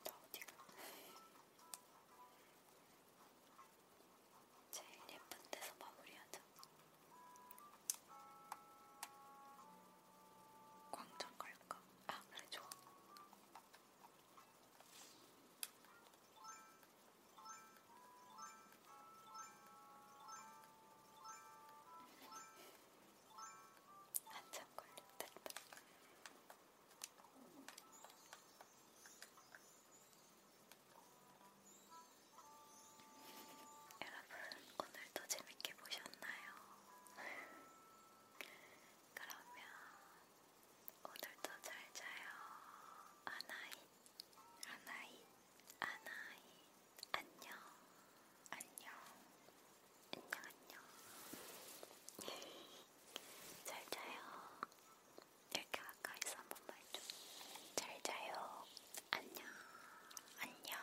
Speaker 1: 나 어디가? 제일 예쁜 데서 마무리하자. 광장 갈까? 아, 그래, 좋아. 한참 걸렸다. 여러분, 오늘도 재밌게 보셨나요? 그러면 오늘도 잘 자요. 아나이 아나이, 아나이, 안녕, 안녕, 안녕, 안녕. <laughs> 잘 자요. 이렇게 가까이서 한 번만 해줘. 잘 자요. 안녕, 안녕.